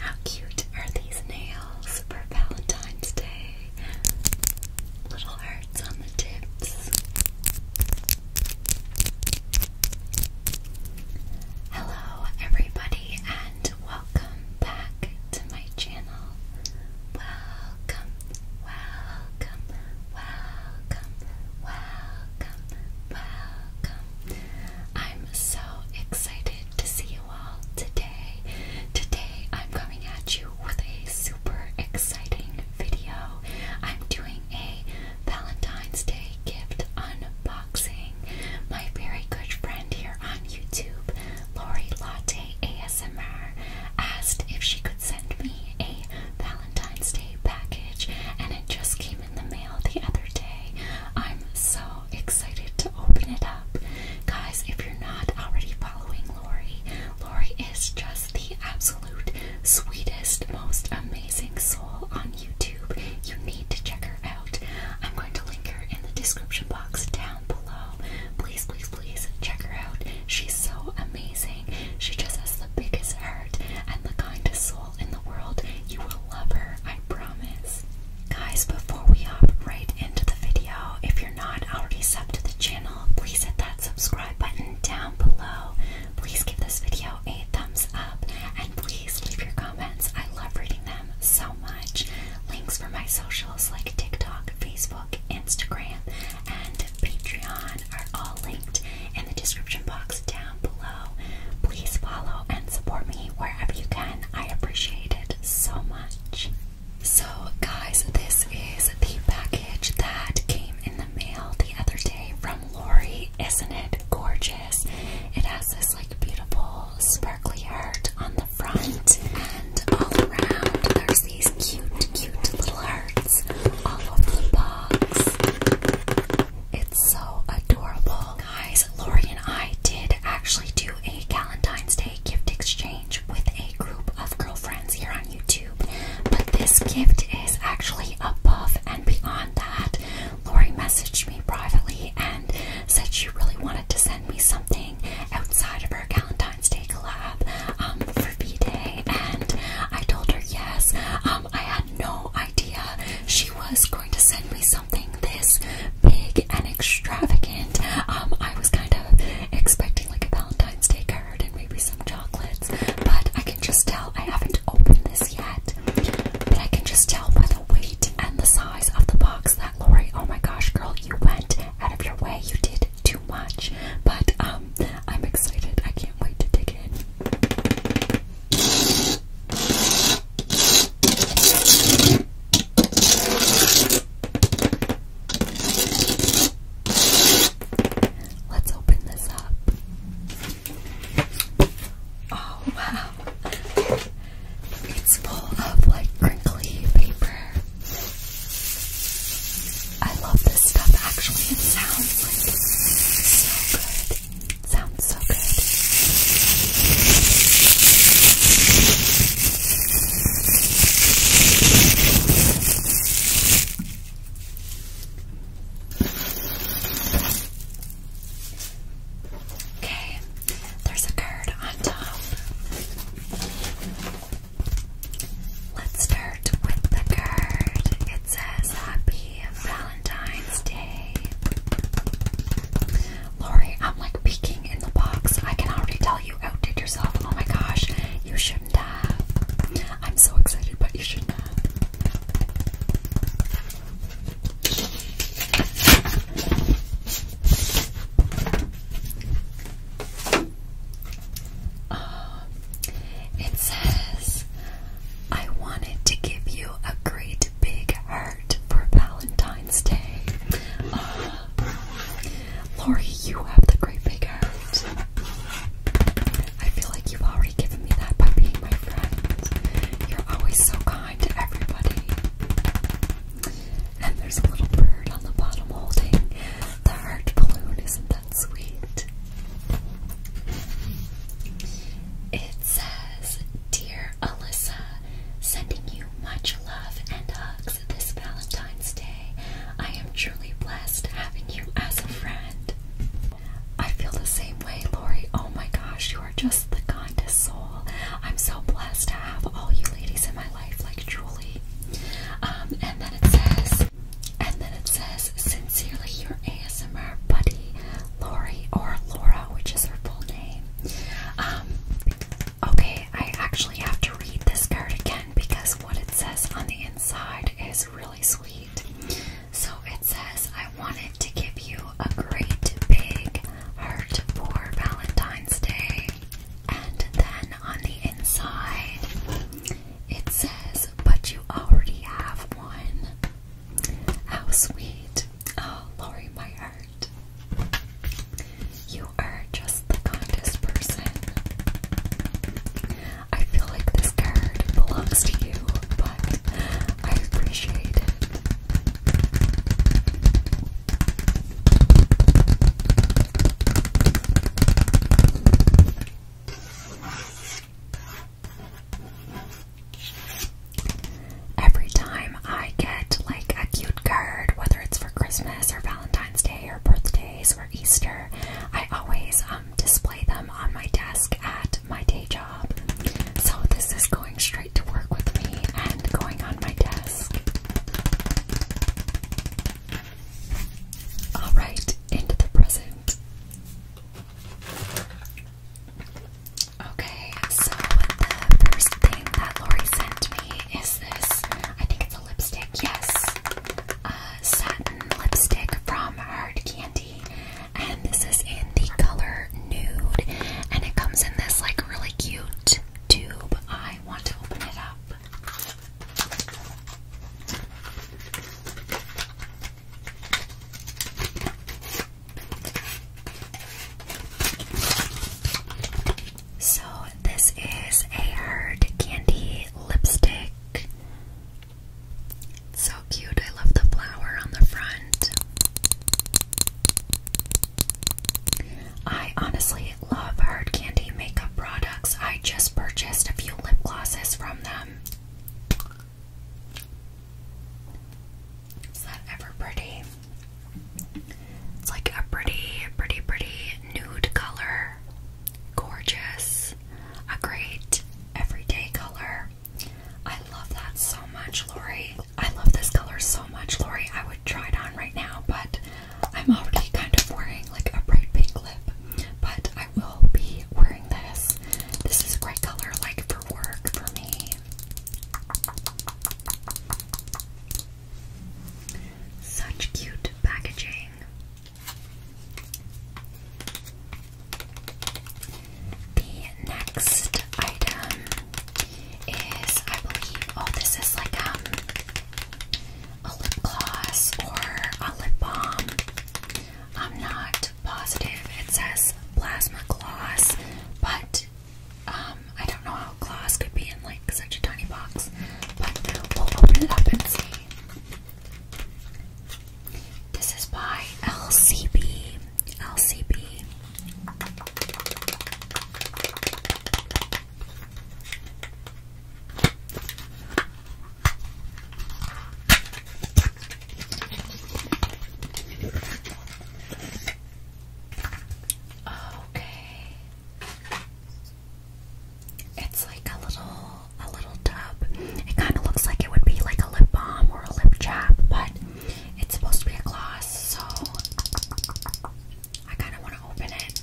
How cute are these nails for Valentine's Day? little hearts on the tips. Hello, everybody, and welcome back to my channel. Welcome, welcome, welcome, welcome, welcome. I'm so excited to see you all today. Today, I'm coming at you with a super exciting video. I'm doing a Valentine's Day gift unboxing. My very good friend here on YouTube, Lori Latte ASMR, asked if she could send me a Valentine's Day package, and it just came in the mail the other day. I'm so excited to open it up. Guys, if you're not already following Lori, Lori is just the absolute sweetest, most amazing soul on YouTube. You need to check her out. I'm going to link her in the description box down below. Please, please, please check her out. She's so amazing. She just has the biggest heart and the kindest soul in the world. You will love her, I promise. Guys, before we hop right into the video, if you're not already subbed to the channel, please hit that subscribe button down below. Please give this video a thumbs up and please leave your comments. I love reading them so much. Links for my socials like TikTok, Facebook, Instagram, and Patreon are all linked in the description box down below. Please follow and support me wherever you can. I appreciate it so much. So, guys, this is the package that came in the mail the other day from Lori. Isn't it gorgeous? It has this like beautiful sparkly heart on the front, and all around there's these cute, cute little hearts all over the box. It's so adorable. Guys, Lori and I did actually do a Valentine's Day gift exchange with a group of girlfriends here on YouTube. But this gift is actually above and beyond that. Lori messaged me privately and said she really wanted to send me something outside of her Valentine's Day collab um, for V Day, and I told her yes. Um, I had no idea she was going to send me something this big and extravagant. Um, I was kind of expecting like a Valentine's Day card and maybe some chocolates. But I can just tell I haven't opened this yet. But I can just tell by the weight and the size of the box that Lori, oh my gosh, girl, you went out of your way. You did too much. But um I'm excited. I can't wait to dig in. Let's open this up. Oh wow. It's full of like crinkly paper. I love this stuff actually. It sounds like so good. sounds so good. Okay, there's a card on top. Let's start with the card. It says Happy Valentine's Day. Lori, I'm like peeking in the box. I can already tell you you outdid yourself. Oh my gosh, you shouldn't have. I'm so excited, but you shouldn't have. Um, it says, I wanted to give you a great big heart for Valentine's Day. Uh, Lori, you have the great big heart. I feel like you've already given me that by being my friend. You're always so kind to everybody. And there's a little bird on the bottom holding the heart balloon. Isn't that sweet? It says, Dear Alyssa, sending you much love and hugs this Valentine's Day. I am truly blessed having you as a friend. I feel the same way, Lori. Oh my gosh, you are just the kindest soul. I'm so blessed to have all you ladies in my life, like Julie. Um, and then it says, and then it says, sincerely your ASMR buddy, Lori or Laura, which is her full name. Um, okay, I actually have to read this card again because what it says on the inside is really sweet. So it says, I wanted to give you a great big heart for Valentine's Day. And then on the inside, it says, But you already have one. How sweet. Oh, Lori, my heart. You are just the kindest person. I feel like this card belongs to you, but I appreciate it. Every time I get like a cute card, whether it's for Christmas or Valentine's Day or birthday holidays or Easter, I always um, display them on my desk at my day job. So this is going straight to work with me and going on my desk. Alright, into the present. Okay, so the first thing that Lori sent me is this. I think it's a lipstick, yes. Uh, satin lipstick from Hard Candy, and this is in the color Nude, and it comes in this like really cute tube. I want to open it up. So, this is a Hard Candy lipstick so cute. I love the flower on the front. I honestly love Hard Candy makeup products. I just purchased a few lip glosses from them. Is that ever pretty? It's like a pretty, pretty, pretty nude color. Gorgeous. A great everyday color. I love that so much, Lori. I love this color so much, Lori. I would try it on right now, but I'm already kind of wearing like a bright pink lip. But I will be wearing this. This is a great color, like for work for me. Such cute packaging. The next item is, I believe, oh, this is like um, a lip gloss or a lip balm. I'm not positive. It says plasma gloss, but um, I don't know how gloss could be in like like such a tiny box. But we'll open it up and see. This is by LCB. LCB. Okay. It's like a little a little tub. It kind of looks like it would be like a lip balm or a lip chap, but it's supposed to be a gloss, so I kind of want to open it.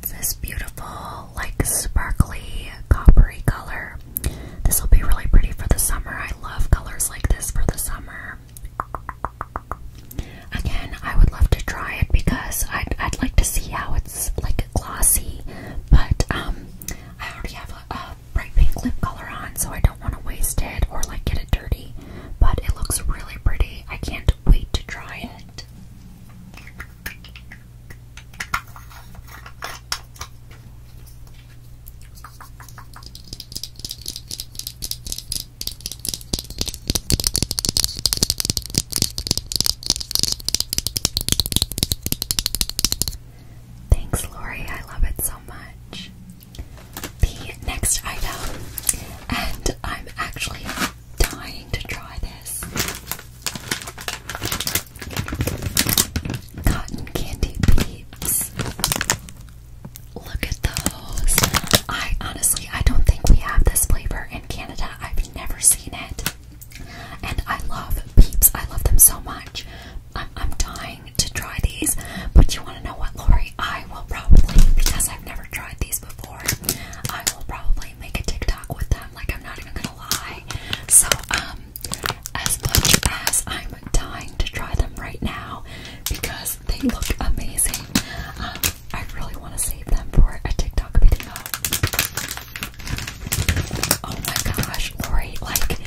It's this beautiful, like sparkly, coppery color. This will be really pretty for the summer. I love colors like this for the summer. Again, I would love to try it because I'd, I'd like to see how it's like glossy, but um, I already have a bright pink lip color on, so I don't want to waste it or like get it dirty. But it looks really pretty. I can't wait to try it. Thanks, Lori. I love it so much. The next item, and I'm actually dying to try this. Cotton candy beads. Look at those. I honestly, I don't think we have this flavor in Canada. I've never seen it. And I love peeps. I love them so much. I'm dying to try these. But you want to know what, Lori? I will probably, because I've never tried these before, I will probably make a TikTok with them. Like, I'm not even going to lie. So, um, as much as I'm dying to try them right now because they look amazing. Um, I really want to save them for a TikTok video. Oh my gosh, Lori, like,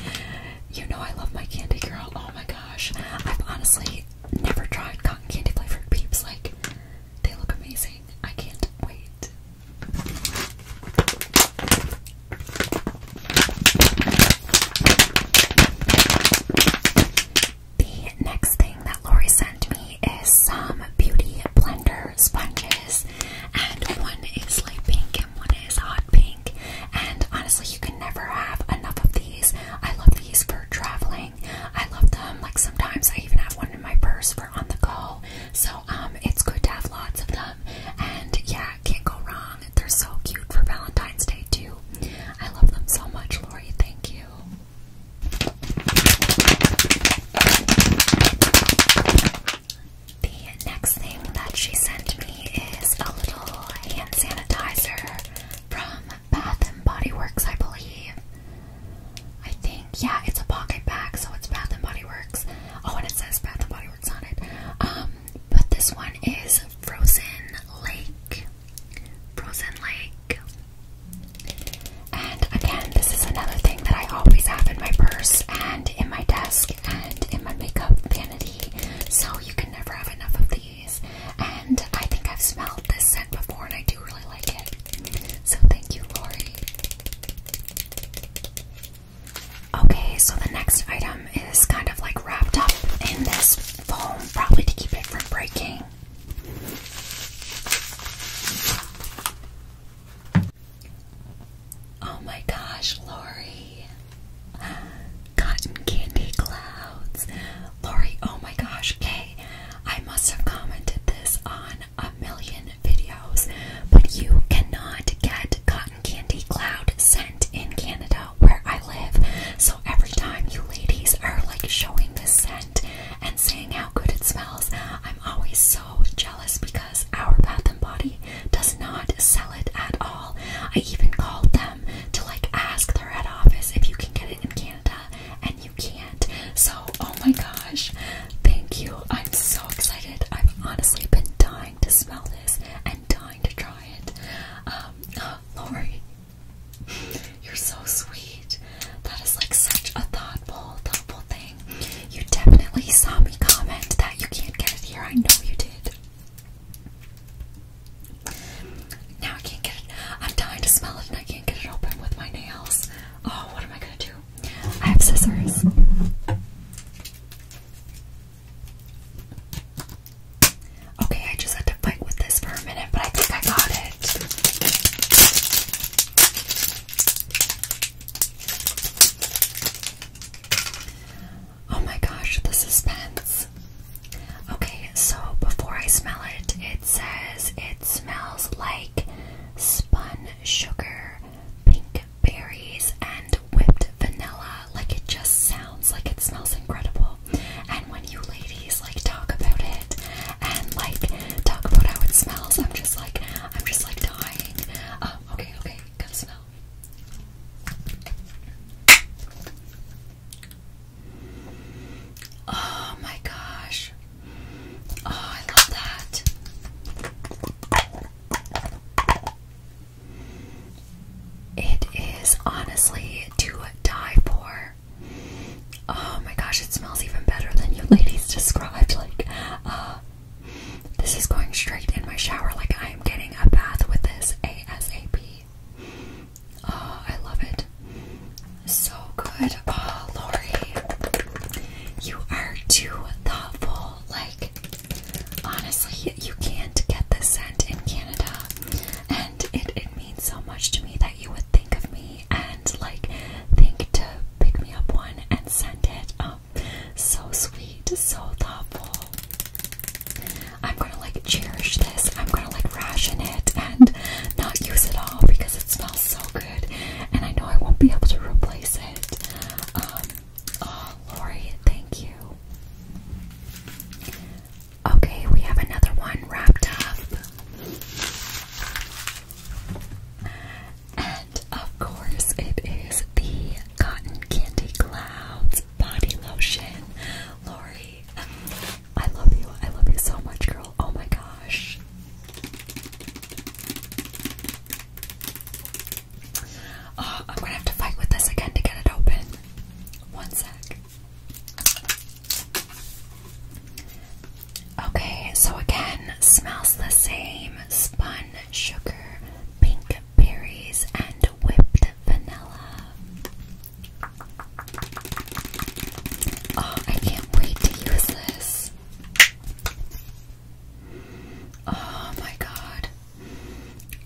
you know I love my candy girl. Oh my gosh, I've honestly never tried cotton candy flavored peeps. Like, they look amazing. I can't wait. The next thing that Lori sent me is some beauty blender sponges, and one is light pink and one is hot pink. And honestly, you can never have enough of these. I love these for traveling. I love them. Like sometimes I even have one in my purse for on the go. So um, it's good to have lots of them. And yeah, yeah, can't go wrong. They're so cute for Valentine's Day, too. I love them so much, Lori. Thank you. The next thing that she sent me is a little hand sanitizer from Bath and Body Works, I believe. I think, yeah, it's a pocket bag, so it's Bath and Body Works. Oh, and it says Bath and Body Works on it. Um, but this one is Frozen Lake. Frozen Lake. And again, this is another thing that I always have in my purse and in my desk and in my makeup vanity. So you can never have enough of these. And I think I've smelled this scent before and I do really like it. So thank you, Lori. Okay, so the next item is kind of like wrapped up in this foam, probably to keep it from breaking. Oh my gosh, Lori. Cotton candy clouds. Lori, oh my gosh, Kay, I must have commented this on a million videos, but you cannot get cotton Candy Cloud scent in Canada where I live. So every time you ladies are like showing this scent and saying how good it smells, I'm always so jealous because our Bath and Body does not sell it at all. I even called them to like ask their head office if you can get it in Canada and you can't. So, oh my gosh, thank you. I'm so excited. I've honestly been dying to smell this and dying to try it. Um, Lori, you're so sweet. That is like such a thoughtful, thoughtful thing. You definitely saw me comment that you can't get it here. I know you did. Now I can't get it. I'm dying to smell it and I can't get it open with my nails. Oh, what am I gonna do? I have scissors. Okay, I just had to fight with this for a minute, but I think I got it. Oh my gosh, the suspense. Okay, so before I smell it, it says it smells like spun sugar, pink berries and whipped vanilla. Like it just sounds like it smells incredible. And when you ladies like talk about it and like talk about how it smells, I'm just like I'm just like dying. Uh, okay, okay, gotta smell. Oh my gosh. Oh, I love that. It is honestly to die for. Oh my gosh, it smells even better than you ladies described. Like, uh, this is going straight in my shower. Like, I am getting a bath with this ASAP. Oh, I love it. So good. Oh, Lori, you are too thoughtful. Like, honestly, you can't get this scent in Canada, and it, it means so much to me that you would think of me and like think to pick me up one and send it. Um, so sweet, so thoughtful. I'm gonna like cherish this. I'm gonna like ration it and not use it all because it smells so good, and I know I won't be able to replace it. Um, Oh, Lori, thank you. Okay, we have another one wrapped up. And of course, it is the Cotton Candy Clouds Body Lotion. Lori, I love you. I love you so much, girl. Oh my gosh. Oh, I'm gonna have to fight with this again to get it open. One sec. Okay, so again, smells the same. Spun sugar, pink berries, and whipped vanilla. Oh, I can't wait to use this. Oh my god.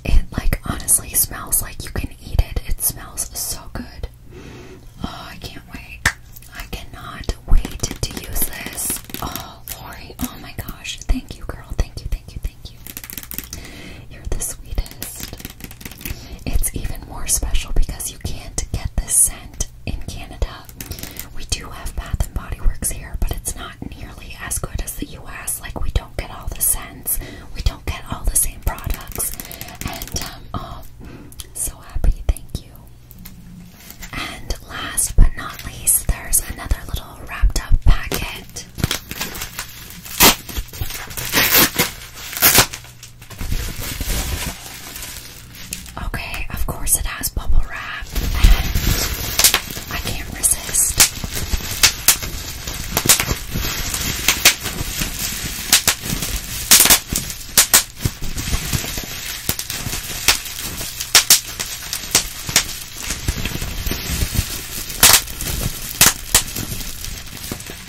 It like honestly smells like you can eat it. It smells so good. Oh, I can't wait. I cannot wait to use this. Oh, Lori. Oh my gosh. Thank you, girl. Thank you, thank you, thank you. You're the sweetest. It's even more special because you can't get this scent in Canada. We do have Bath and Body Works here, but it's not nearly as good as the US. Like we don't get all the scents, we don't get all the same products. And um, oh, so happy! Thank you. And last but not least, there's another little wrapped up packet. Okay, of course it has bubble wrap. I can't resist.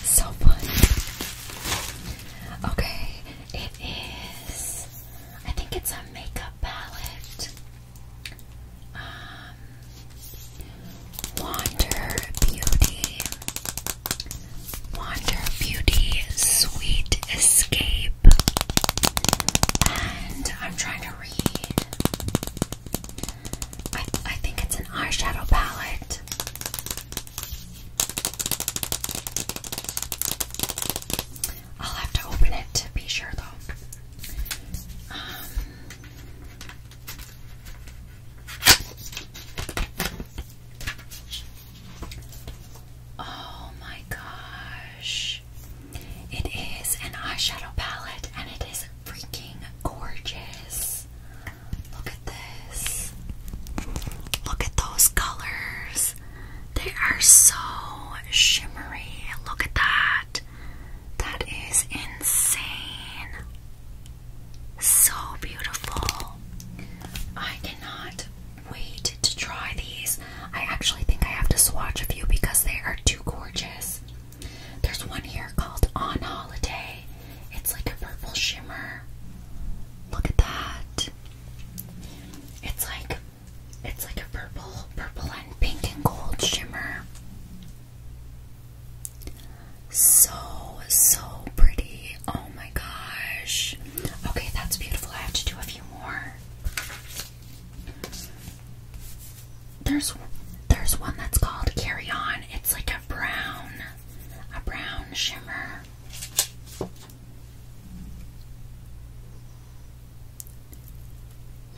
So fun. Okay, it is. I think it's a makeup palette. Um, Wander Beauty. Wander Beauty Sweet Escape. And I'm trying to read. I, I think it's an eyeshadow palette. I'll have to open it to be sure though. Um, oh my gosh. It is an eyeshadow palette and it is freaking gorgeous. Look at this. Look at those colors. They are so shimmery. Look at that. That is insane. So beautiful. I cannot wait to try these. I actually think I have to swatch a few because they are too gorgeous. There's one here called On Holiday. It's like a purple shimmer. Look at that. It's like it's like a purple, purple and pink and gold shimmer. So, so pretty. Oh my gosh. Okay, that's beautiful. I have to do a few more. There's there's one that's called Carry On. It's like a brown, a brown shimmer.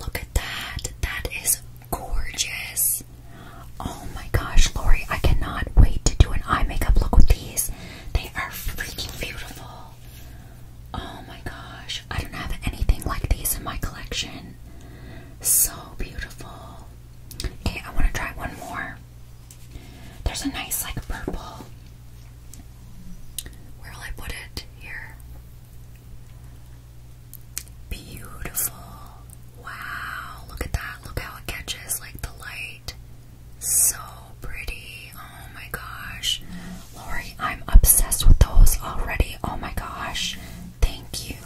Look at that. That is gorgeous. Oh my gosh, Lori, I cannot wait to do an eye makeup look with these. They are freaking beautiful. Oh my gosh, I don't have anything like these in my collection. So beautiful. Okay, I want to try one more. There's a nice, like, purple. Where will I put it? Here. Beautiful. Wow, look at that. Look how it catches like the light. So pretty. Oh my gosh. Lori, I'm obsessed with those already. Oh my gosh. Thank you.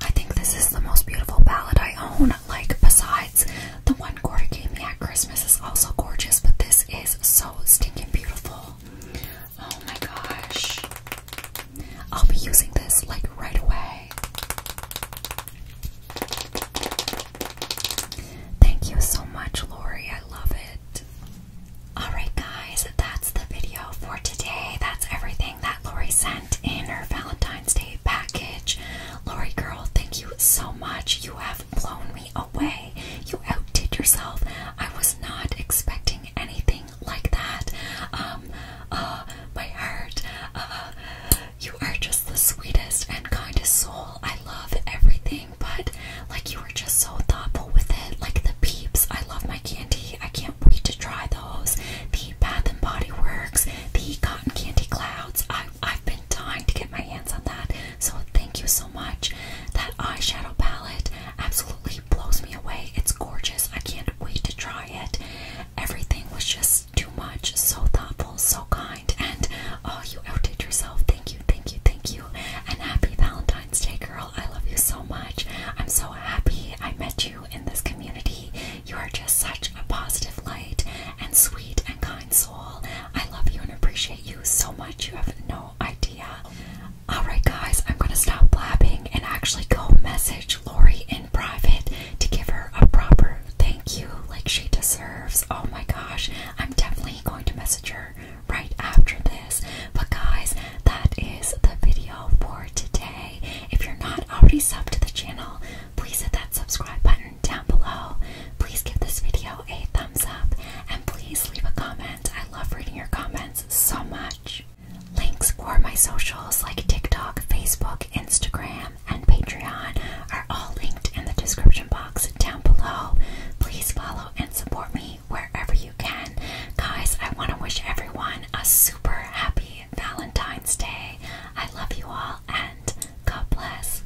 I think this is the most beautiful palette I own, like besides the one gave me at Christmas is also gorgeous, but this is so stinking beautiful. Oh my gosh. I'll be using this like right away. Thank you so much, Lori. I love it. Alright, guys, that's the video for today. That's everything that Lori sent in her Valentine's Day package. Lori, girl, thank you so much. You have blown me away. You outdid yourself. I was not expecting anything like that. Um, uh, my heart, uh, you are just the sweetest and kindest soul. I love everything, but like you were just so thoughtful with it. Like the peeps, I love my candy. I can't wait to try those. The Bath and Body Works, the Cotton Candy Clouds. I, have been dying to get my hands on that, so thank you so much. That eyeshadow palette absolutely blows me away. It's gorgeous. I can't wait to try it. Everything was just too much. So thoughtful, so kind, and oh, you outdid yourself. Thank you, thank you, thank you. And happy Valentine's Day, girl. I love you so much. I'm so happy I met you in this community. You are just such a positive light and sweet and kind soul. I love you and appreciate you so much. You have no idea. Alright, guys, I'm going to stop blabbing and actually go message Lori in private to give her a proper thank you like she deserves. Oh my gosh, I'm definitely going to message her right after this. But, guys, that is the video for today. If you're not already subbed to the channel, please hit that subscribe button down below. Please give this video a thumbs up and please leave a comment. I love reading your comments so much. Links for my socials like TikTok, Facebook, Instagram, and Patreon are all linked in the description box down below. Please follow and support me wherever you can. Guys, I want to wish everyone a super happy Valentine's Day. I love you all and God bless.